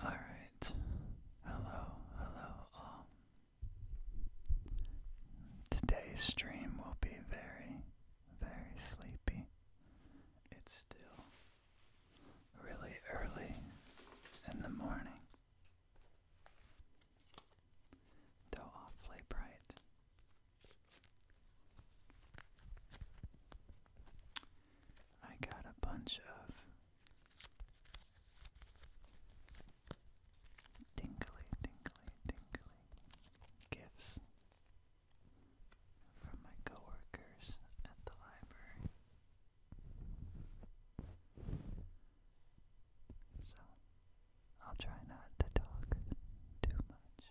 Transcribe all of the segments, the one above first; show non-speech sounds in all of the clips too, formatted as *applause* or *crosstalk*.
Alright. Hello, hello all. Um, today's stream will be very, very sleepy. It's still really early in the morning, though awfully bright. I got a bunch of Tingly, tingly, tingly gifts from my coworkers at the library. So I'll try not to talk too much.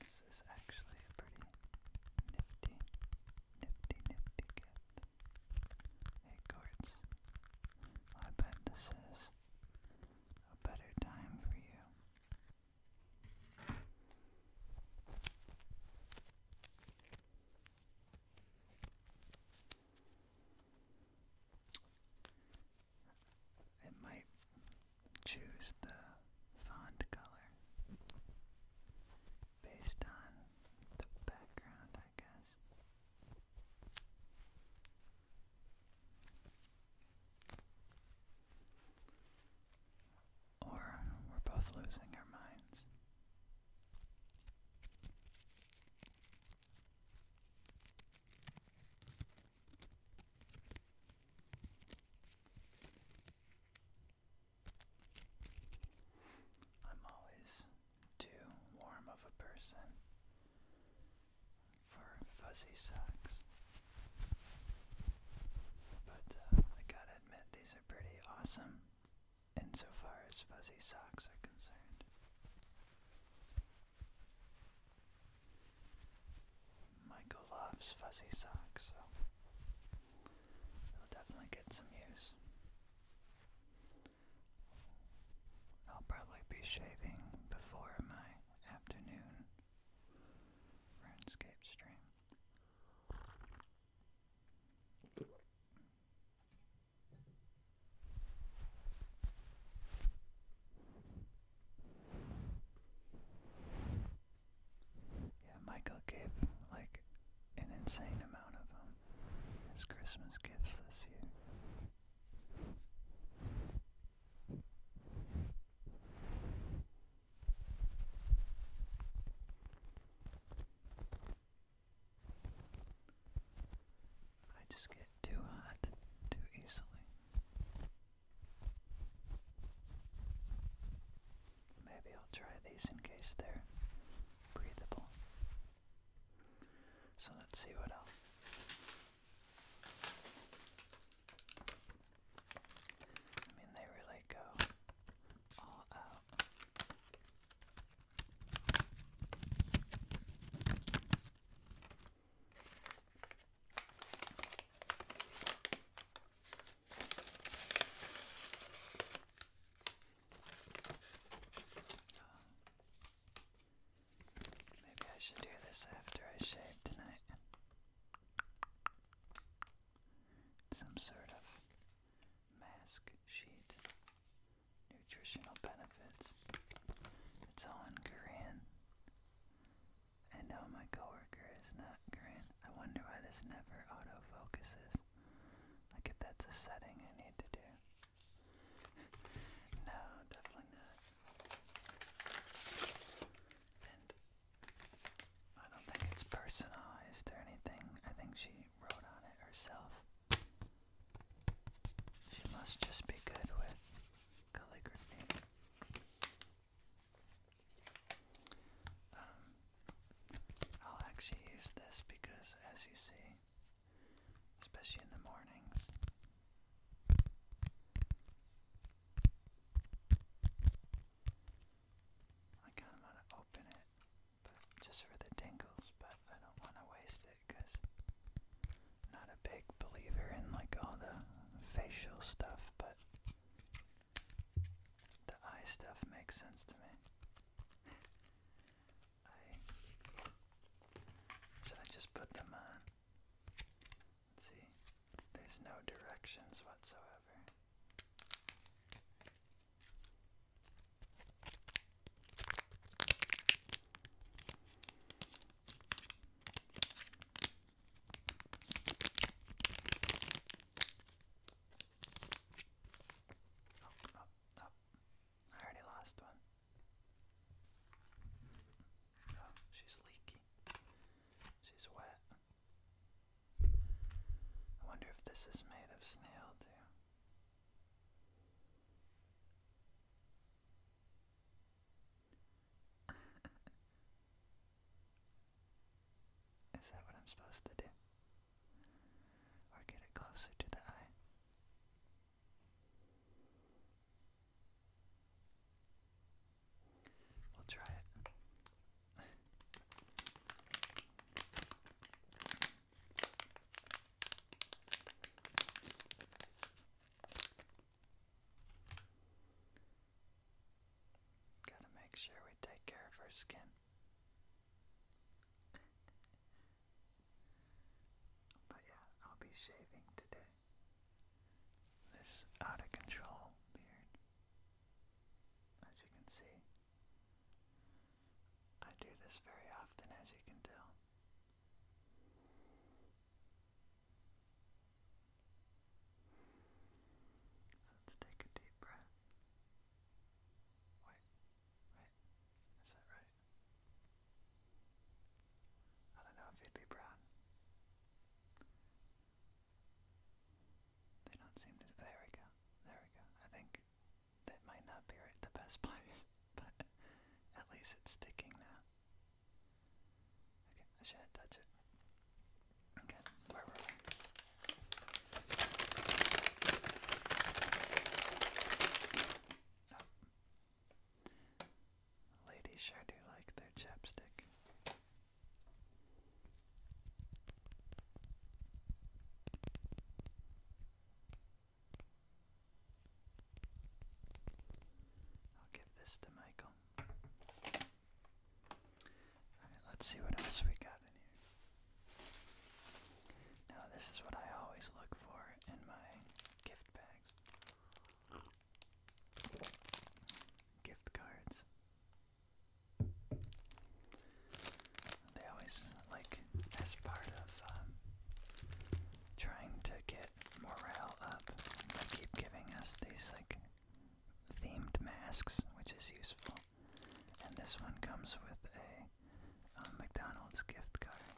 This is actually a pretty nifty, nifty, nifty gift. Hey, Quartz, I bet this is a better time for you. It might choose the font color based on the background, I guess. Or we're both losing our minds. I'm always too warm of a person for fuzzy socks. But uh, I gotta admit, these are pretty awesome insofar as fuzzy socks are concerned. Michael loves fuzzy socks, so they'll definitely get some use. I'll probably be shaving before my afternoon RuneScape stream. Yeah, Michael gave like an insane amount of um, his Christmas gifts this year. I just get too hot too easily. Maybe I'll try these in case they're breathable. So let's see what else. I mean, they really go all out. Maybe I should do this after I shave tonight. Some sort of mask sheet nutritional benefits. It's all in Korean. I know my coworker is not Korean. I wonder why this never autofocuses. Like if that's a setting I need to do. *laughs* no, definitely not. And I don't think it's personalized or anything. I think she wrote on it herself. She must just be good with calligraphy. Um, I'll actually use this because, as you see, especially in the mornings, I kind of want to open it, just for the tingles. But I don't want to waste it because not a big believer in like all the facial stuff, but the eye stuff makes sense to me. *laughs* should I just put them on? Let's see. There's no directions whatsoever. Oh, oh, oh. I already lost one. she's leaky. She's wet. I wonder if this is made of snail, too. *laughs* Is that what I'm supposed to do? Or get it closer to the eye? We'll try it. *laughs* Gotta make sure we take care of our skin. *laughs* but yeah, I'll be shaving today. This out of control beard. As you can see, I do this very often, as you can tell let's take a deep breath. Wait, wait, is that right? I don't know if he'd be brown. They don't seem to. There we go. There we go. I think that might not be right the best *laughs* place, but at least it's sticking now. Okay, I shouldn't touch it. Okay, where were we? Oh. Ladies sure do like their chapstick. I'll give this to Michael. Alright, let's see what else we got in here. Now, this is what I always look for in my gift bags gift cards. They always like, as part of um, trying to get morale up. They keep giving us these like themed masks, which is useful. And this one comes with a um, McDonald's gift card.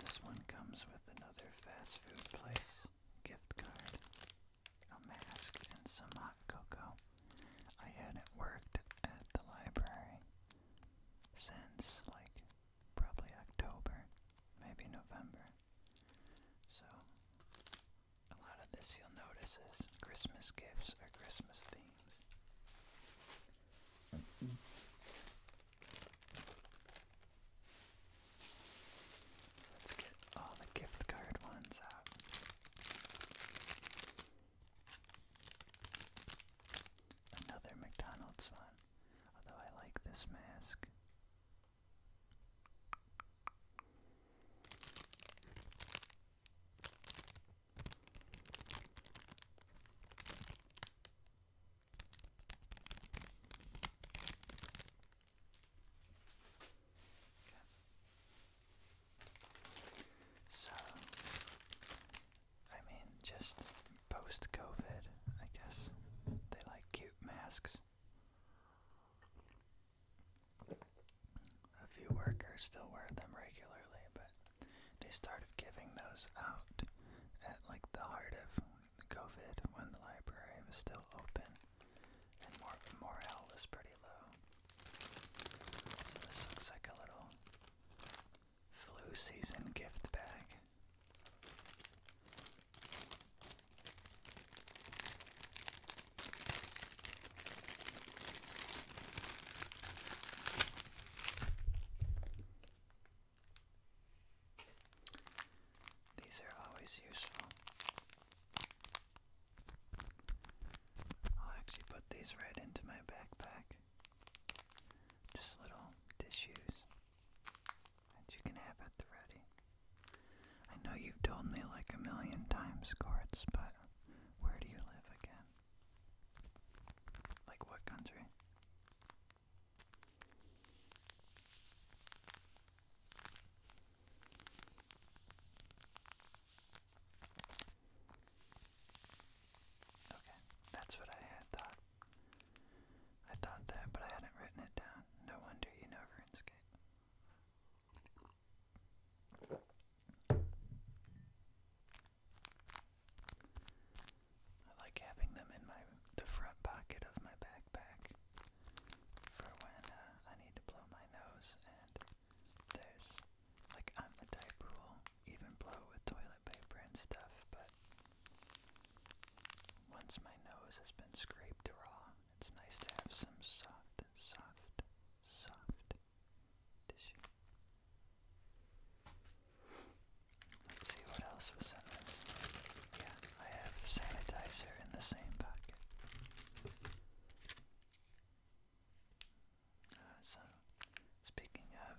This one comes with another fast food place gift card, a mask, and some hot cocoa. I hadn't worked at the library since like probably October, maybe November. So a lot of this you'll notice is Christmas gifts or Christmas themes. So let's get all the gift card ones out. Another McDonald's one. Although I like this mask. So, I mean, just post COVID, I guess. They like cute masks. A few workers still wear them regularly, but they started giving those out at like the heart of COVID when the library was still open and morale was pretty low. So this looks like a little Flu season gift bag. These are always useful. I'll actually put these right into my backpack. Just little tissues that you can have at the ready. I know you've told me like a million times, Courts, but where do you live again? Like what country? Okay, that's what I had thought. I thought that, but I hadn't written it down. No wonder you know RuneScape. I like having them in my the front pocket of my backpack for when uh, I need to blow my nose and there's like I'm the type who even blow with toilet paper and stuff, but once my nose has been scraped raw, it's nice to have some soft, soft, soft tissue. Let's see what else was in this. Yeah, I have sanitizer in the same pocket. Uh, so, speaking of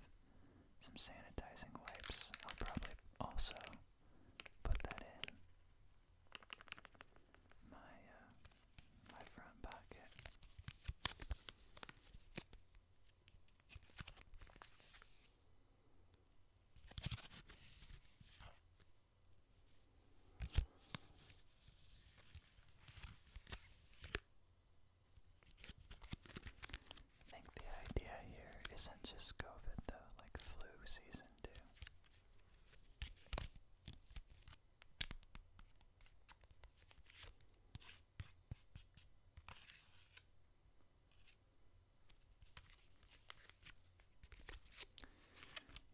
some sanitizing wipes, I'll probably also put that in my uh, my front pocket. I think the idea here isn't just COVID though, like flu season too.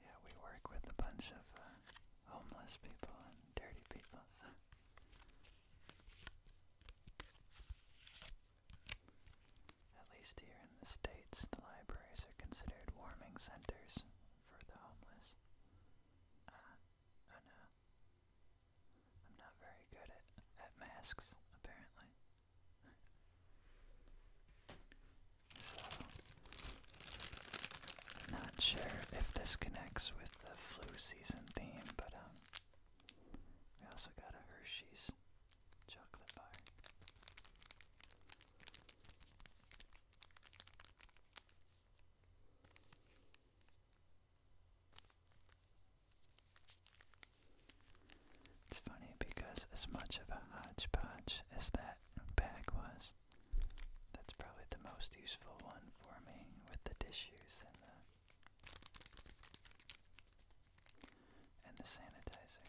Yeah, we work with a bunch of uh, homeless people and dirty people. At least here in the States, the libraries are considered warming centers for the homeless. Ah, uh, I I'm not very good at, at masks, apparently. *laughs* so, not sure if this connects with the flu season theme, but um, we also got a Hershey's chocolate bar. It's funny because as much of a hodgepodge as that bag was, that's probably the most useful one for me with the tissues and the and the sanitizer.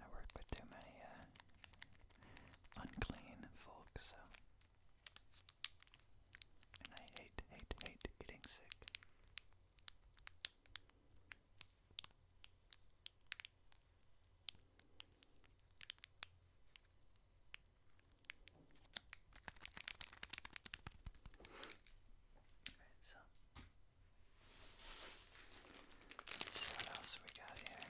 I work with too many uh, unclean folk, so. And I hate, hate, hate getting sick. Alright, so let's see what else we got here.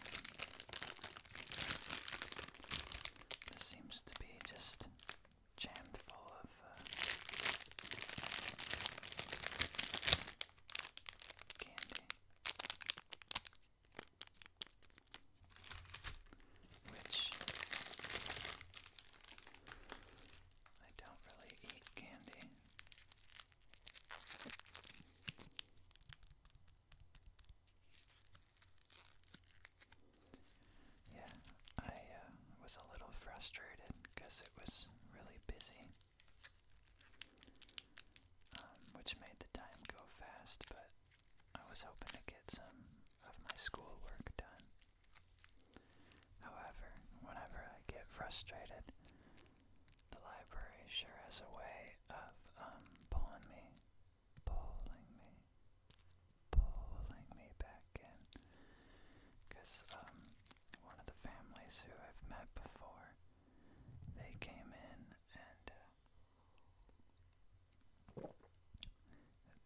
This seems to be just jammed full of uh, candy. Which I don't really eat candy. Yeah, I uh, was a little frustrated because it was really busy, um, which made the time go fast, but I was hoping to get some of my schoolwork done. However, whenever I get frustrated, the library sure has a way of um pulling me, pulling me, pulling me back in. Cause um one of the families who I've met before, they came in and uh,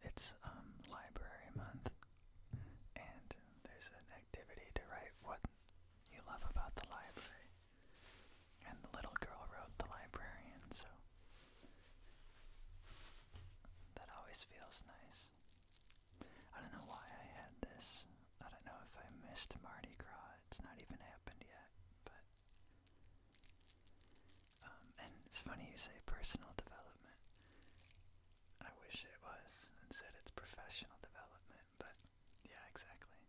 it's um, library month, and there's an activity to write what you love about the library. And the little girl wrote the librarian, so that always feels nice. I don't know why I had this. I don't know if I missed Mardi Gras. It's not even happened yet, but um, and it's funny you say personal development. I wish it was and said it's professional development, but yeah, exactly.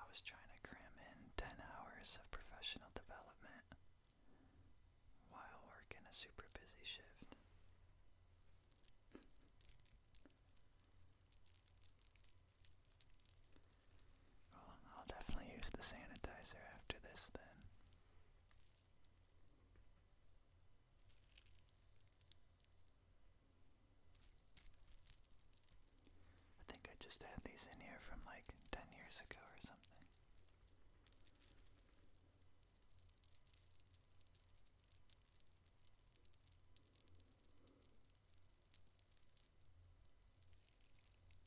I was trying to cram in 10 hours of professional development while working a super busy shift. I'll definitely use the sanitizer after this then. I think I just had these in here from like 10 years ago or something.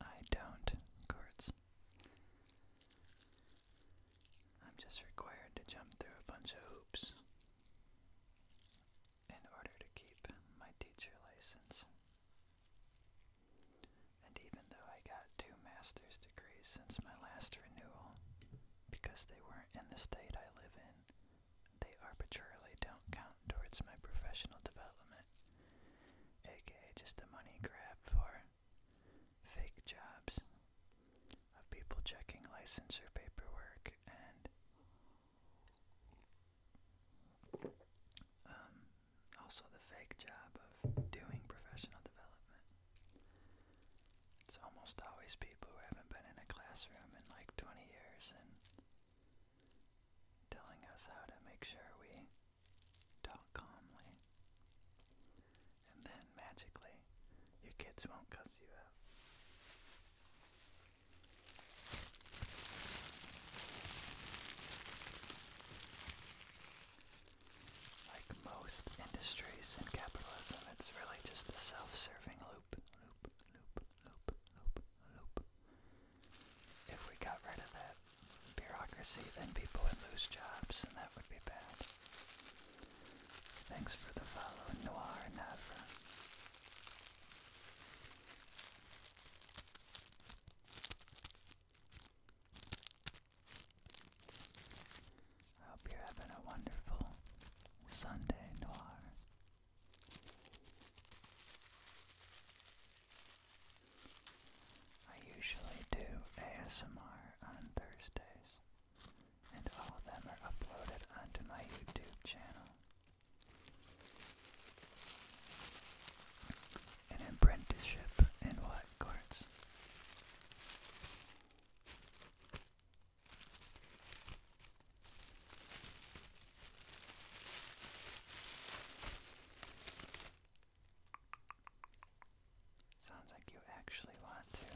I don't cards. I'm just required to jump through a bunch of hoops in order to keep my teacher license. And even though I got two master's degrees since my last renewal, because they weren't in the state I live in, they arbitrarily don't count towards my professional development, aka just a money grab for fake jobs of people checking licensure paperwork and um, also the fake job of doing professional development. It's almost always people who haven't been in a classroom in like 20 years and telling us how to make sure we talk calmly. And then magically, your kids won't cuss you out. Like most industries in capitalism, it's really just a self serving loop, if we got rid of that bureaucracy, then people would lose jobs, and that would be bad. Thanks for the follow, Noir Navra. I hope you're having a wonderful Sunday, Noir. I usually do ASMR on Thursdays, and all of them are uploaded onto my YouTube channel. An apprenticeship in what courts? Sounds like you actually want to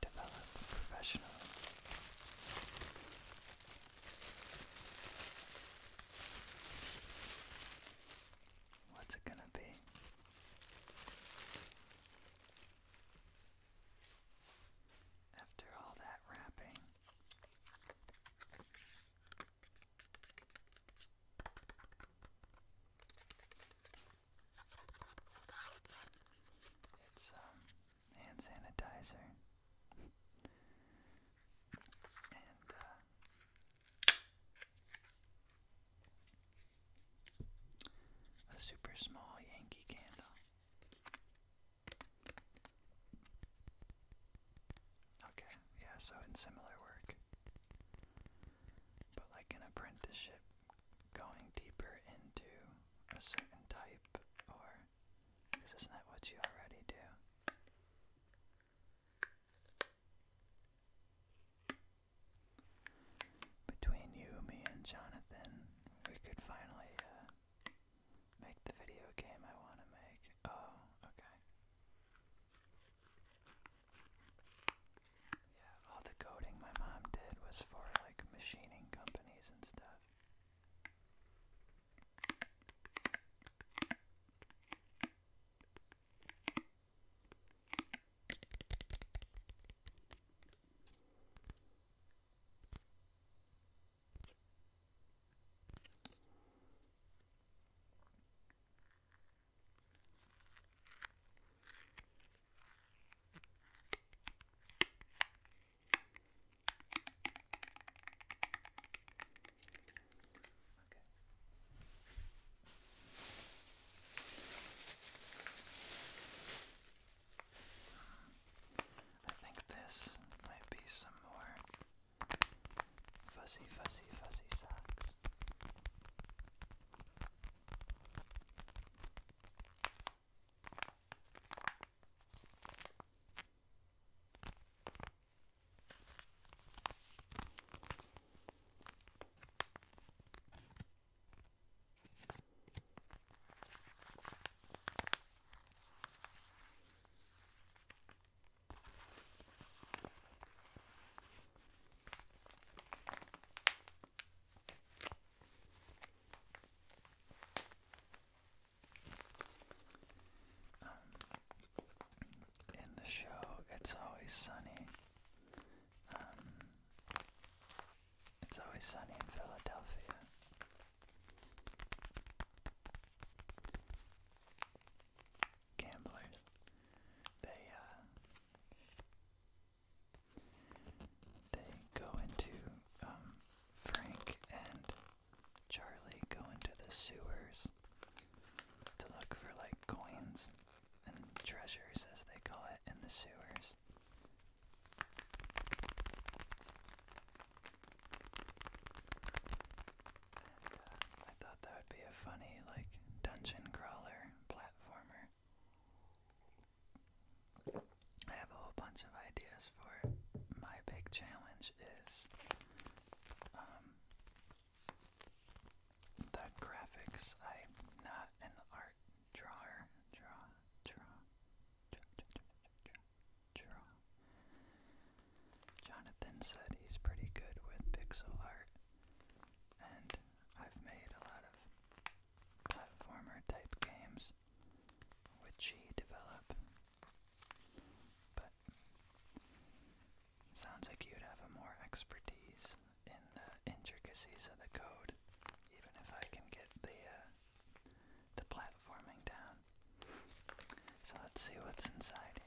develop professionally. What's it gonna be? After all that wrapping, it's um, hand sanitizer and uh, a super small Yankee candle. Okay, yeah, so in similar work. But like an apprenticeship, going deeper into a certain type, or. Because isn't what you already do? Between you, me, and Jonathan, we could finally uh, make the video game I want to make. Oh, okay. Yeah, all the coding my mom did was for like machining companies and stuff. Okay. I think this might be some more Fuzzy, fuzzy, fuzzy socks. Um, in the show, it's always sunny. Um, it's always sunny in Philadelphia. Gamblers. They uh, they go into um, Frank and Charlie go into the sewers to look for like coins and treasures as they call it in the sewers. Uh, I thought that would be a funny, like, dungeon crawler platformer. I have a whole bunch of ideas for it. My big challenge is um, the graphics. I'm not an art drawer. draw, draw, draw, draw. Jonathan said he's pretty good with pixel art, and I've made a lot of platformer type games which he developed. But sounds like you'd have a more expertise in the intricacies of the code, even if I can get the uh, the platforming down. So let's see what's inside here.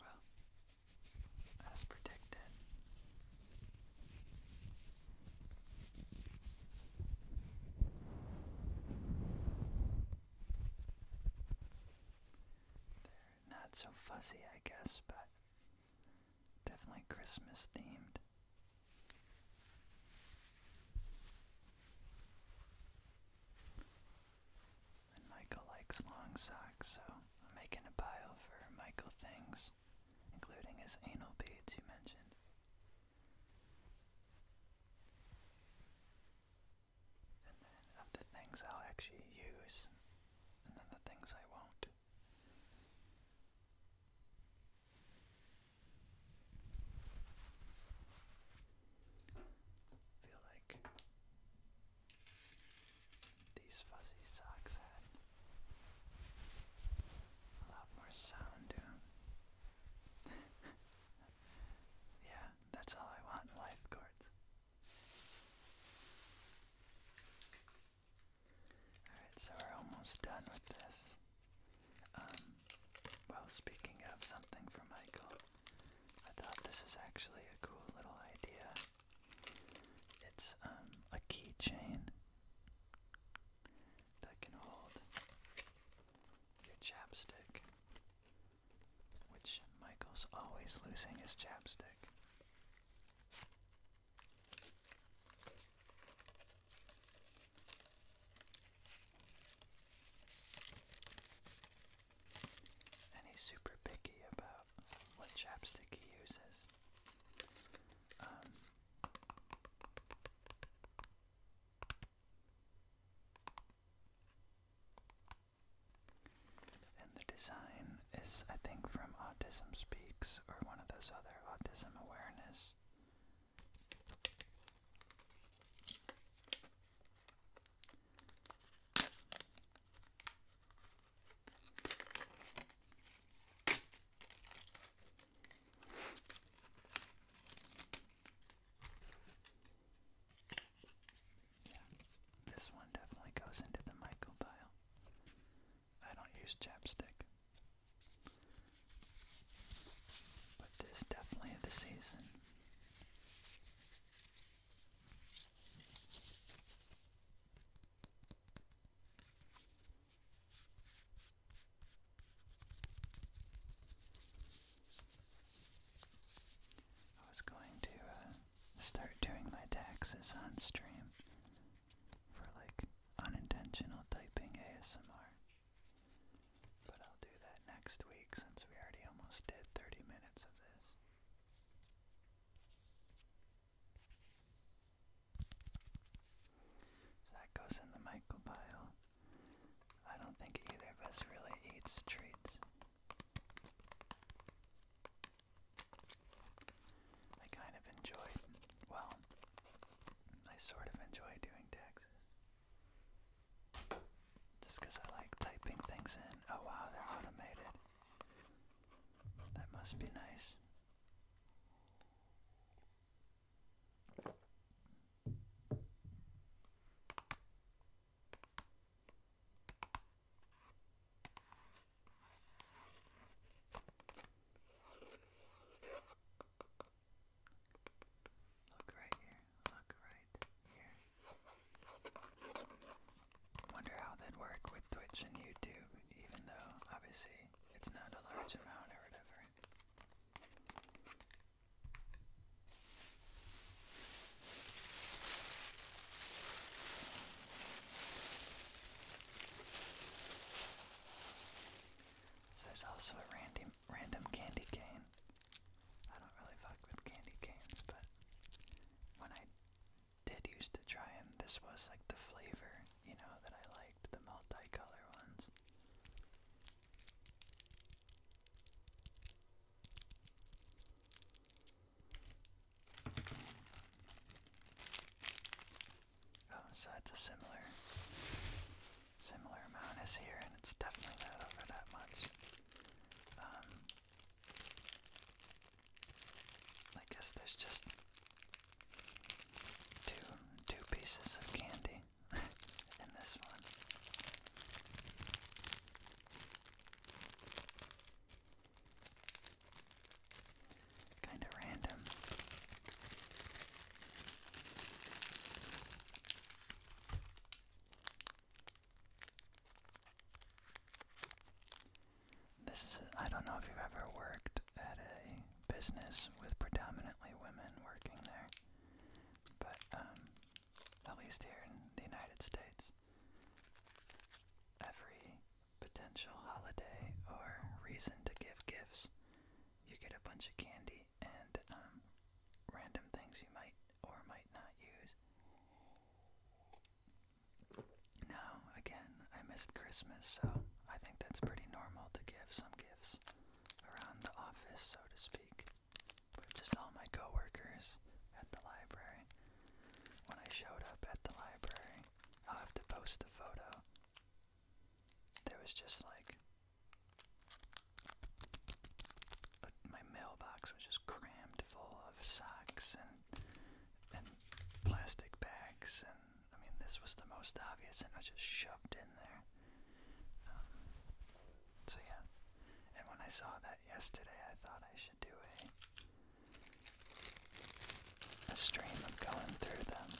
Well, as predicted. They're not so fuzzy, I guess, but definitely Christmas themed. And Michael likes long socks, so I'm making a pile for Michael things, including his anal beads you mentioned. And then of the things I'll actually use, and then the things I won't. Feel like these fuzzy socks had a lot more sound to *laughs* yeah, that's all I want life guards. Alright, so we're almost done with this. Um, well, speaking of something for Michael, I thought this is actually a cool little idea. It's um, a keychain that can hold your chapstick, which Michael's always losing his chapstick. And he's super picky about what chapstick he uses. Um, and the design is, I think, from Autism Speaks or one of those other autism awareness this one definitely goes into the Michael dial. I don't use chapstick. But this definitely the season. I was going to uh, start doing my taxes on stream for like unintentional typing ASMR. But I'll do that next week since we already almost did 30 minutes of this that goes in the microbiome. I don't think either of us really eats treats. I kind of enjoyed, well, I sort of enjoy doing taxes. Just because I like typing things in. Oh wow, they're automated. That must be nice. Look right here. Look right here. Wonder how that'd work with Twitch and YouTube, even though obviously it's not a large amount or whatever. So there's also a random random candy cane. I don't really fuck with candy canes, but when I did used to try them. This was like the flavor, you know, that I liked, the multicolored ones. Oh, so it's a similar similar amount as here and it's definitely not over that much. Um, I guess there's just two two pieces of candy *laughs* in this one. Kinda random. This is, I don't know if you've ever worked at a business with predominantly women working there, but um, at least here in the United States, every potential holiday or reason to give gifts, you get a bunch of candy and um, random things you might or might not use. Now, again, I missed Christmas, so I think that's pretty normal to give some gifts around the office, so to speak. With just all my coworkers at the library. When I showed up at the library, I'll have to post the photo. There was just like my mailbox was just crammed full of socks and and plastic bags, and I mean, this was the most obvious, and it just shoved in there. Um, so, yeah. And when I saw that yesterday, I thought I should do a. A stream of going through them.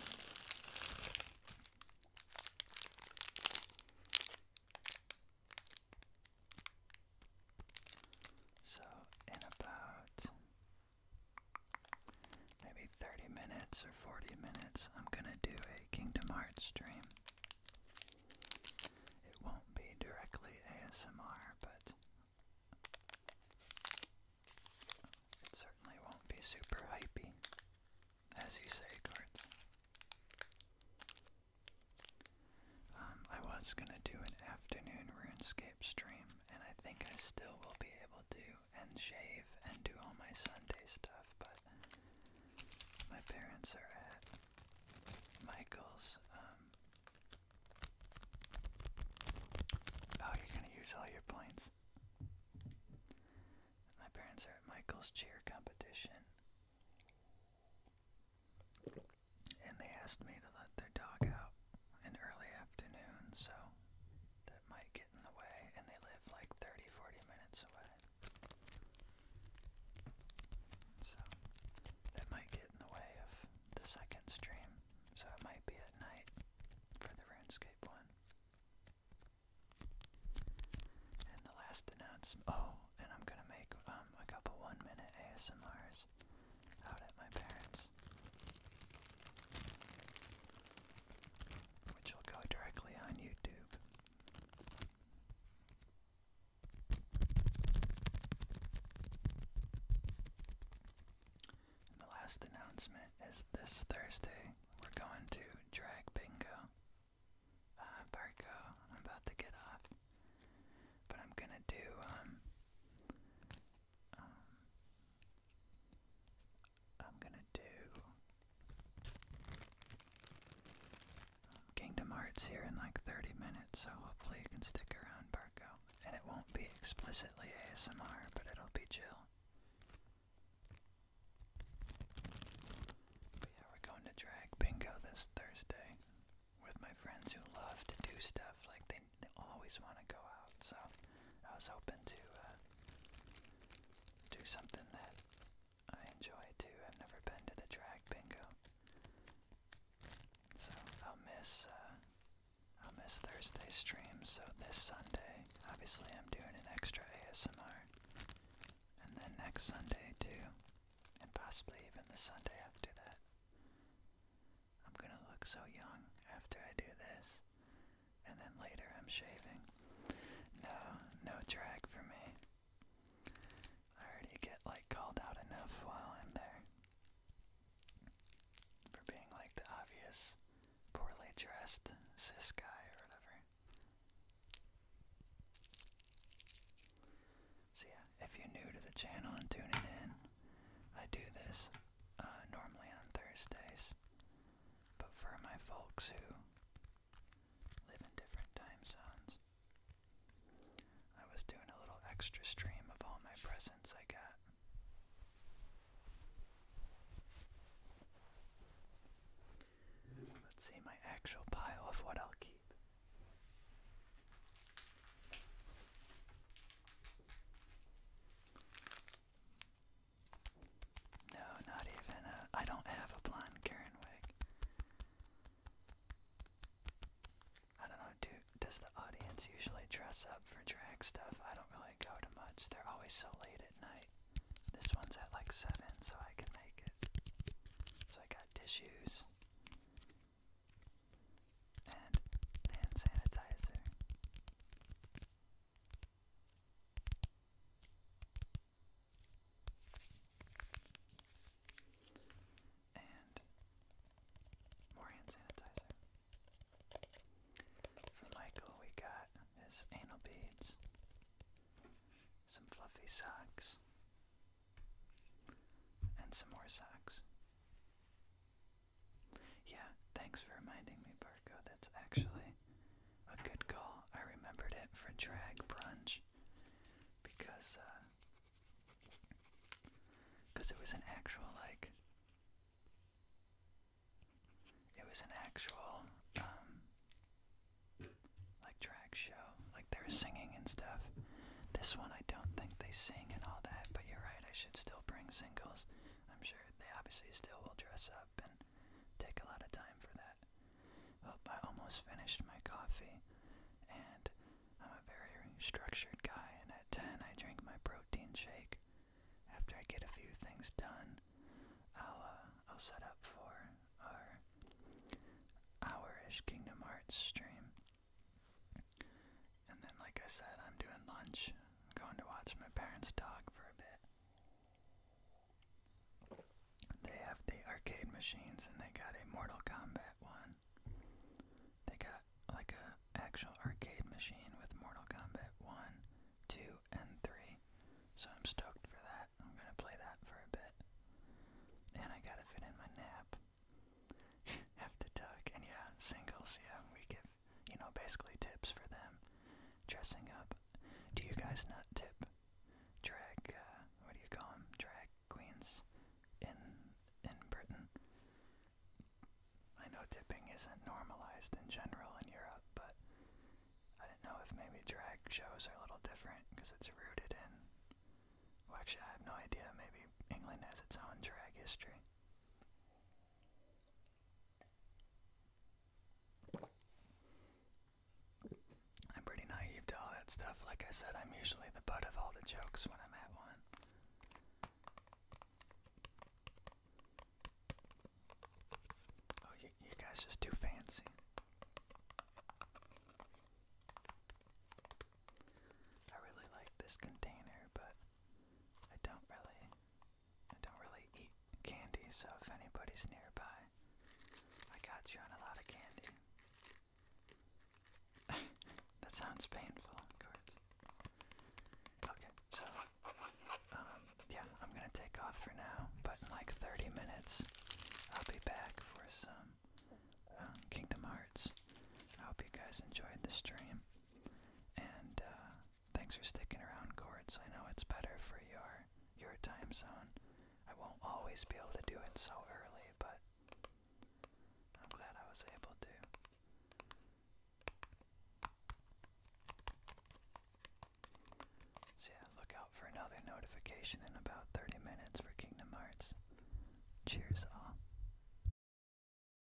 So, in about maybe 30 minutes or 40 minutes, I'm gonna do a Kingdom Hearts stream. It won't be directly ASMR, but it certainly won't be super hypey, as you say, Cards. Um, I was gonna do an afternoon RuneScape stream, and I think I still will be able to, and shave, and do all my Sunday stuff, but my parents are at Michael's. Um, oh, you're gonna use all your points. My parents are at Michael's cheer competition. And they asked me to let their dog out in early afternoon, so that might get in the way. And they live like 30 40 minutes away. So that might get in the way of the second stream. So it might be at night for the RuneScape one. And the last announcement. Oh, and I'm gonna make um, a couple one minute ASMRs out at my parents'. Which will go directly on YouTube. the last announcement is this Thursday we're going to drag bingo. Uh, I'm about to get off, but I'm gonna do um, um, I'm gonna do Kingdom Hearts here in like 30 minutes, so hopefully you can stick around, Barco. And it won't be explicitly ASMR, but it'll be chill. yeah, we're going to drag bingo this Thursday with my friends who love to do stuff. Like they, always want to go out. So I was hoping to uh, do something that I enjoy too. I've never been to the drag bingo, so I'll miss uh, I'll miss Thursday's stream. So this Sunday, obviously, I'm doing an extra ASMR, and then next Sunday too, and possibly even the Sunday after that. I'm gonna look so young after I do this. And then later I'm shaving. No, no drag for me. I already get like called out enough while I'm there. For being like the obvious, poorly dressed cis guy or whatever. So yeah, if you're new to the channel and tuning in, I do this uh, normally on Thursdays. But for my folks who live in different time zones, I was doing a little extra stream of all my presents I got. Let's see my actual pile of what I'll keep. No, not even a, uh, I don't have a blonde Karen wig. I don't know, do, does the audience usually dress up for drag stuff? I don't really go to much. They're always so late at night. This one's at like 7, so I can make it. So I got tissues and hand sanitizer. And more hand sanitizer. For Michael, we got his anal beads, some fluffy socks, and some more socks. Yeah, thanks for reminding me, Barco. That's actually a good call. I remembered it for drag brunch because because uh, it was an actual like it was an actual um like drag show like they are singing and stuff this one i don't think they sing and all that but you're right i should still bring singles. I'm sure they obviously still will dress up and take a lot of time for that. Well, I almost finished my coffee, and I'm a very structured guy, and at 10 I drink my protein shake. After I get a few things done, I'll, uh, I'll set up for our hour-ish Kingdom Hearts stream. And then, like I said, I'm doing lunch. I'm going to watch my parents' dog for a bit. They have the arcade machines, and they got a Mortal Kombat one. They got like a actual arcade machine with Mortal Kombat 1, 2, and 3. So I'm stoked for that. I'm gonna play that for a bit. And I gotta fit in my nap. *laughs* have to tuck. And yeah, singles, yeah, we get you know, basically tips for them dressing up. Do you guys not tip drag, uh, what do you call them, drag queens in, in Britain? I know tipping isn't normalized in general in Europe, but I didn't know if maybe drag shows are a little different because it's rooted in. Well, actually, I have no idea. Maybe England has its own drag history. I'm pretty naive to all that stuff. Like I said, I'm usually the butt of all the jokes when I'm at one. Oh, you, guys just too fancy. I really like this container, but I don't really, I don't really eat candy, so if anybody's nearby, I got you on a lot of candy. *laughs* that sounds painful, Okay, so, um, yeah, I'm gonna take off for now, but in like 30 minutes, I'll be back for some um, Kingdom Hearts. I hope you guys enjoyed the stream. And uh, thanks for sticking around, Chords. I know it's better for your your time zone. I won't always be able to do it so early, but I'm glad I was able to. So yeah, look out for another notification in about 30 minutes for Kingdom Hearts. Cheers all.